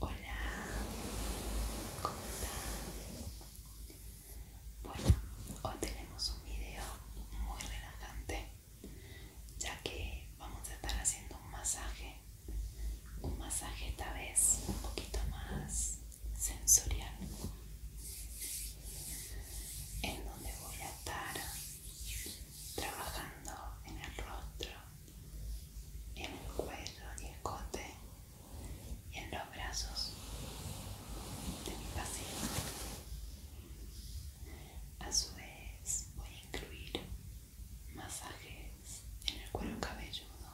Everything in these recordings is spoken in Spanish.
Hola, ¿cómo Bueno, hoy tenemos un video muy relajante ya que vamos a estar haciendo un masaje un masaje esta vez un poquito más sensorial en donde voy a estar trabajando en el rostro en el cuello y el cote y en los brazos de mi paciente a su vez voy a incluir masajes en el cuero cabelludo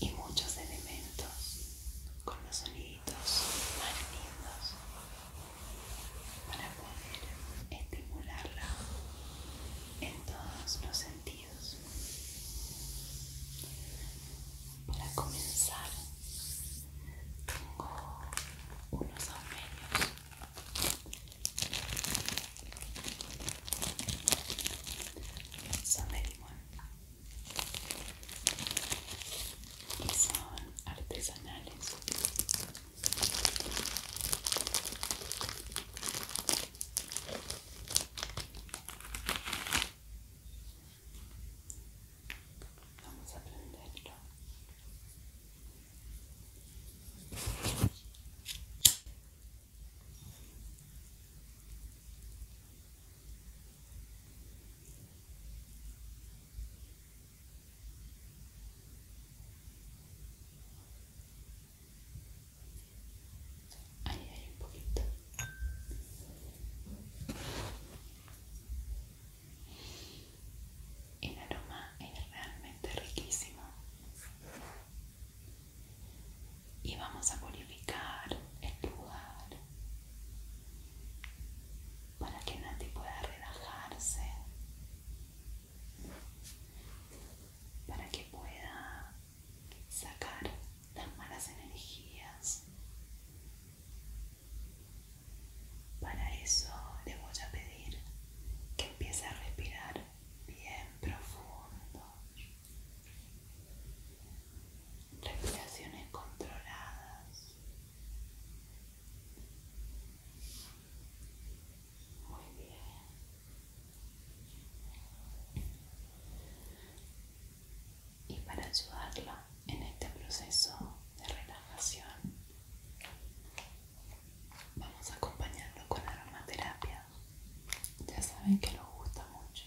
y muchos elementos con los sonidos más lindos para poder estimularla en todos los sentidos para comenzar tengo unos aumerios son de son artesanales Vamos a prenderlo. Ahí hay un poquito. El aroma es realmente riquísimo. Y vamos a purificar el lugar para que nadie pueda relajarse, para que pueda sacar las malas energías. Para eso le voy a pedir que empiece a respirar bien profundo. Respiraciones controladas. Muy bien. Y para ayudarla en este proceso de relajación vamos a acompañarlo con aromaterapia ya saben que los gusta mucho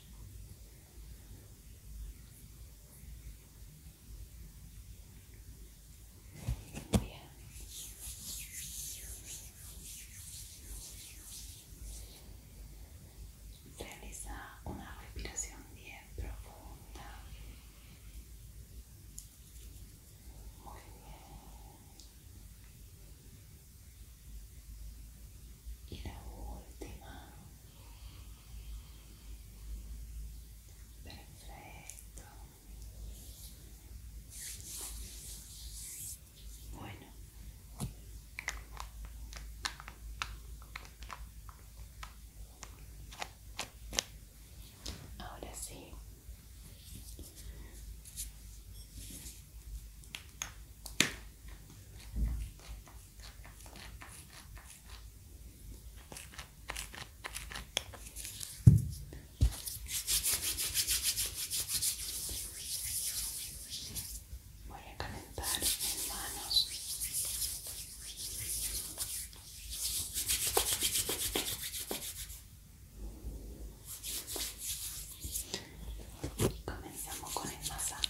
realiza una respiración bien profunda. Muy bien. Y la última. Perfecto. Bueno. Ahora sí. Voy a calentar mis manos. Comenzamos con el masaje.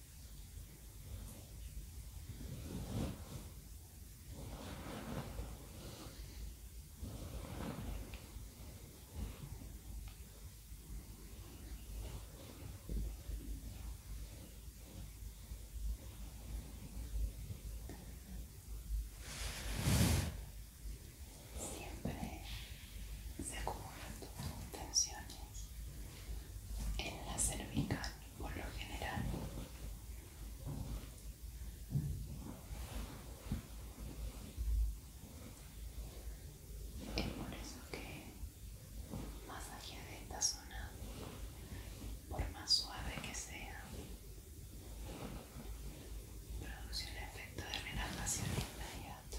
Siempre se acumulan tensiones en la cervical por lo general. Es por eso que masajear esta zona, por más suave que sea, produce un efecto de relajación inmediato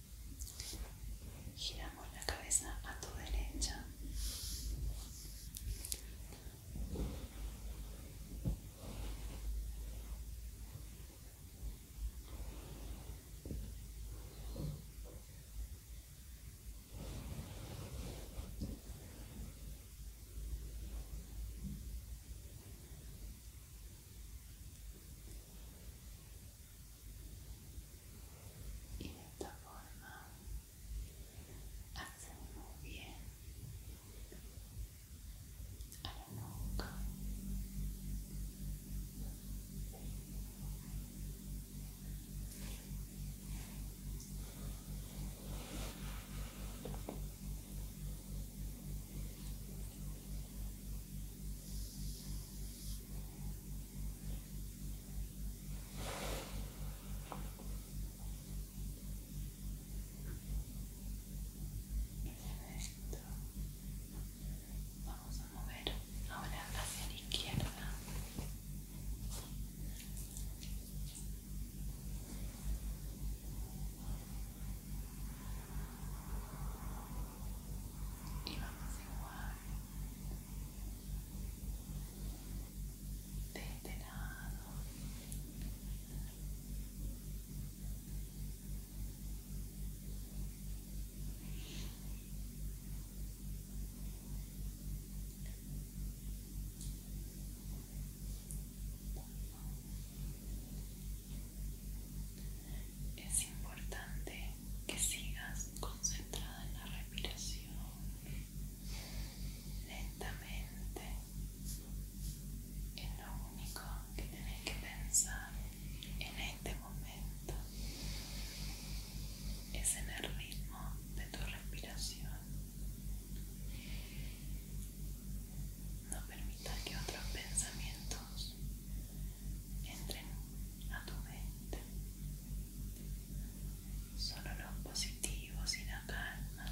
Giramos la cabeza a tu derecha y de esta forma hace muy bien a la nuca Vamos a mover ahora hacia la izquierda. Y vamos a igual de este lado es importante que sigas concentrada en la respiración lentamente es lo único que tienes que pensar en este momento es en el ritmo de tu respiración no permitas que otros pensamientos entren a tu mente. Solo los positivos y la calma.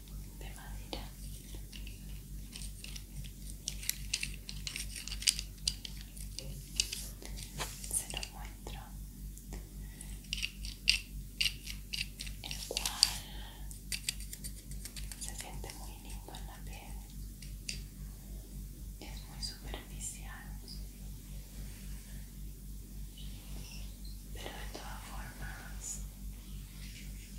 de madera se lo muestro el cual se siente muy lindo en la piel es muy superficial pero de todas formas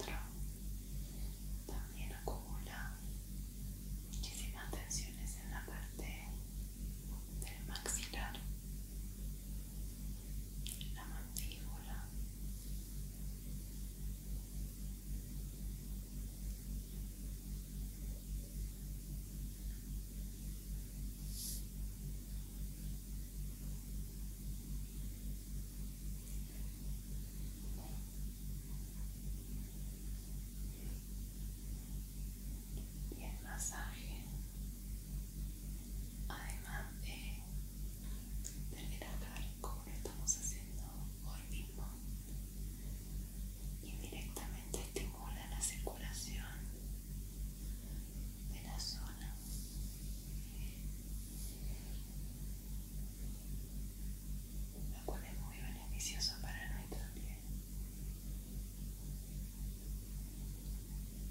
El también acumula muchísimas tensiones en la parte del maxilar la mandíbula y el masaje además de relajar como lo estamos haciendo hoy mismo y directamente estimula la circulación de la zona lo cual es muy beneficioso para nosotros también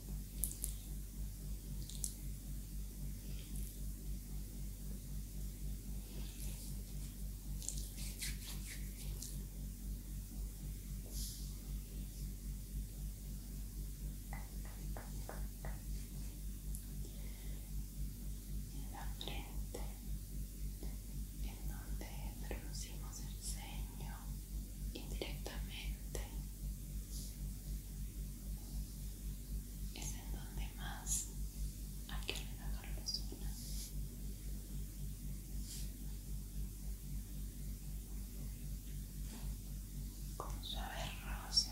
en la frente en donde producimos el ceño indirectamente es en donde más hay que relajar la persona, Con suaves roces.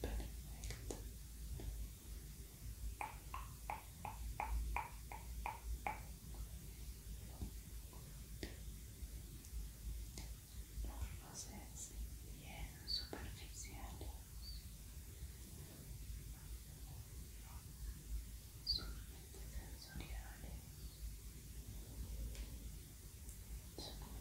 Perfecto. Los roces bien superficiales. solamente sensoriales.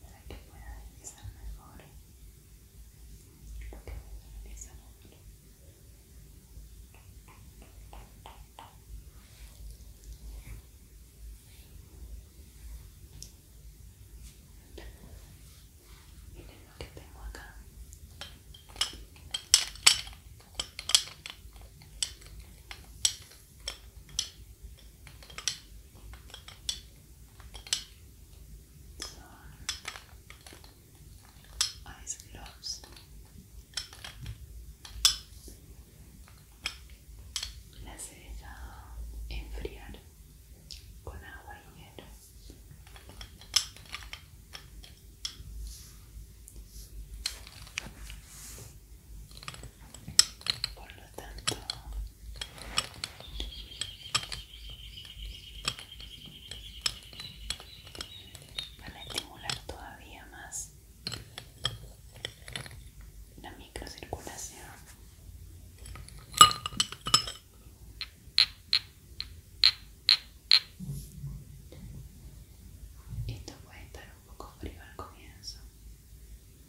para que pueda realizar mejor lo que debe realizar ahora. Miren lo que tengo acá. Las he dejado enfriar con agua y hielo por lo tanto para a estimular todavía más la microcirculación esto puede estar un poco frío al comienzo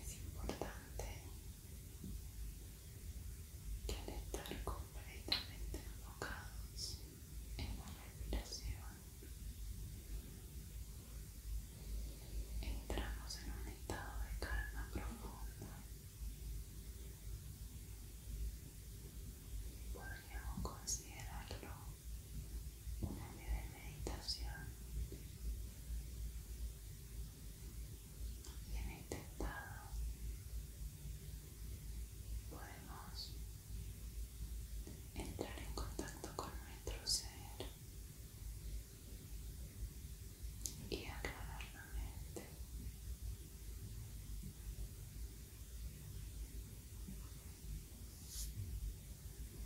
es importante que al estar completamente enfocados en la respiración entramos en un estado de calma profunda podríamos considerarlo una de meditación. Bien intentado. Podemos entrar en contacto con nuestro ser y aclarar la mente.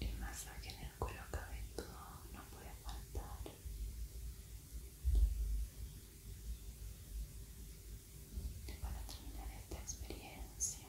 El masaje en el cuello cabelludo no puede faltar. para terminar esta experiencia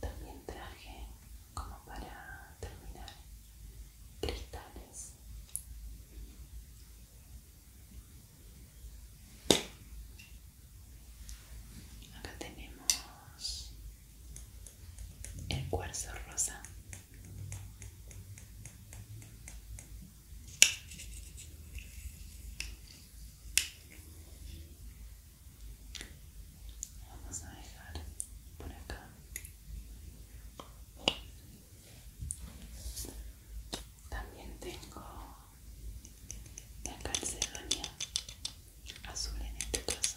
También traje como para terminar cristales. Acá tenemos el cuarzo rosa vamos a dejar por acá también tengo la calcedonia azul en este caso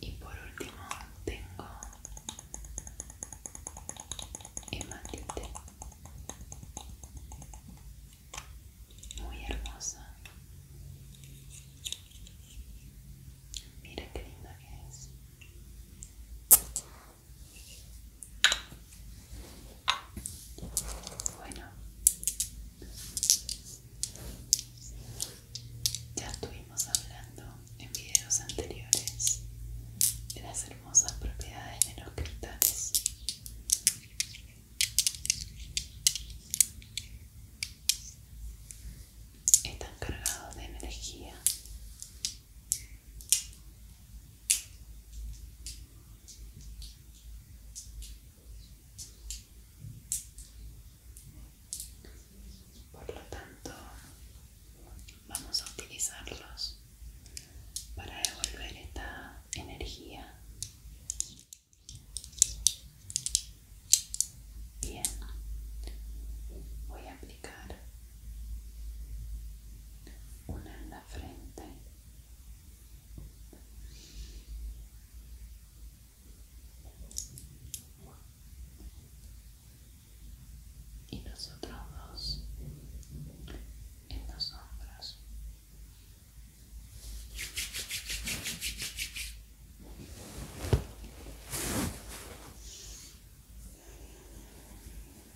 Y por último tengo hematite muy hermosa. Mira qué linda que es. Bueno, ya estuvimos hablando en videos anteriores de las hermosas propiedades de los cristales. Están cargados de energía por lo tanto, vamos a utilizarlos para devolver esta energía. Bien, voy a aplicar aplicar una en la frente y los otros dos en los hombros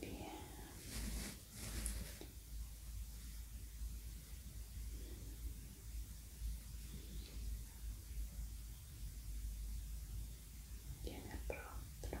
Bien. Bien el rostro. Bien.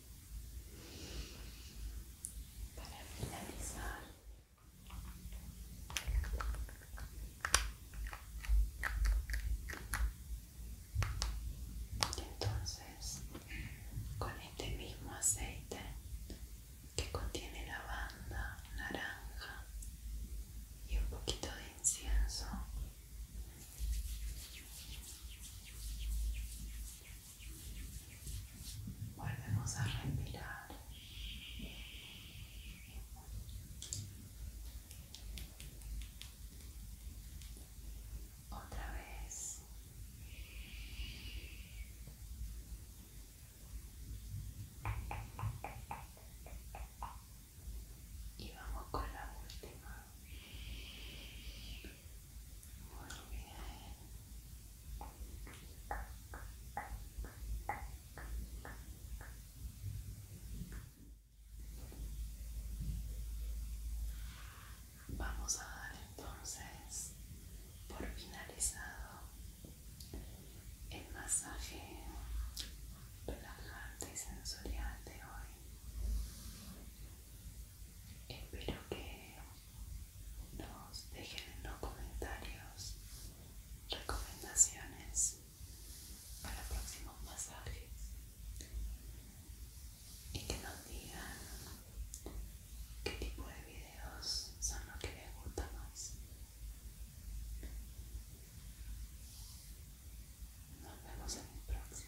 Para finalizar, entonces con este mismo aceite que contiene lavanda, naranja y un poquito de incienso Volvemos a respirar. Otra vez. Y vamos con la última. Vamos a dar entonces por finalizado el masaje relajante y sensorial de hoy. Espero que nos dejen en los comentarios recomendaciones para próximos masajes y que nos digan qué tipo de videos son los que les gusta más. Nos vemos en el próximo.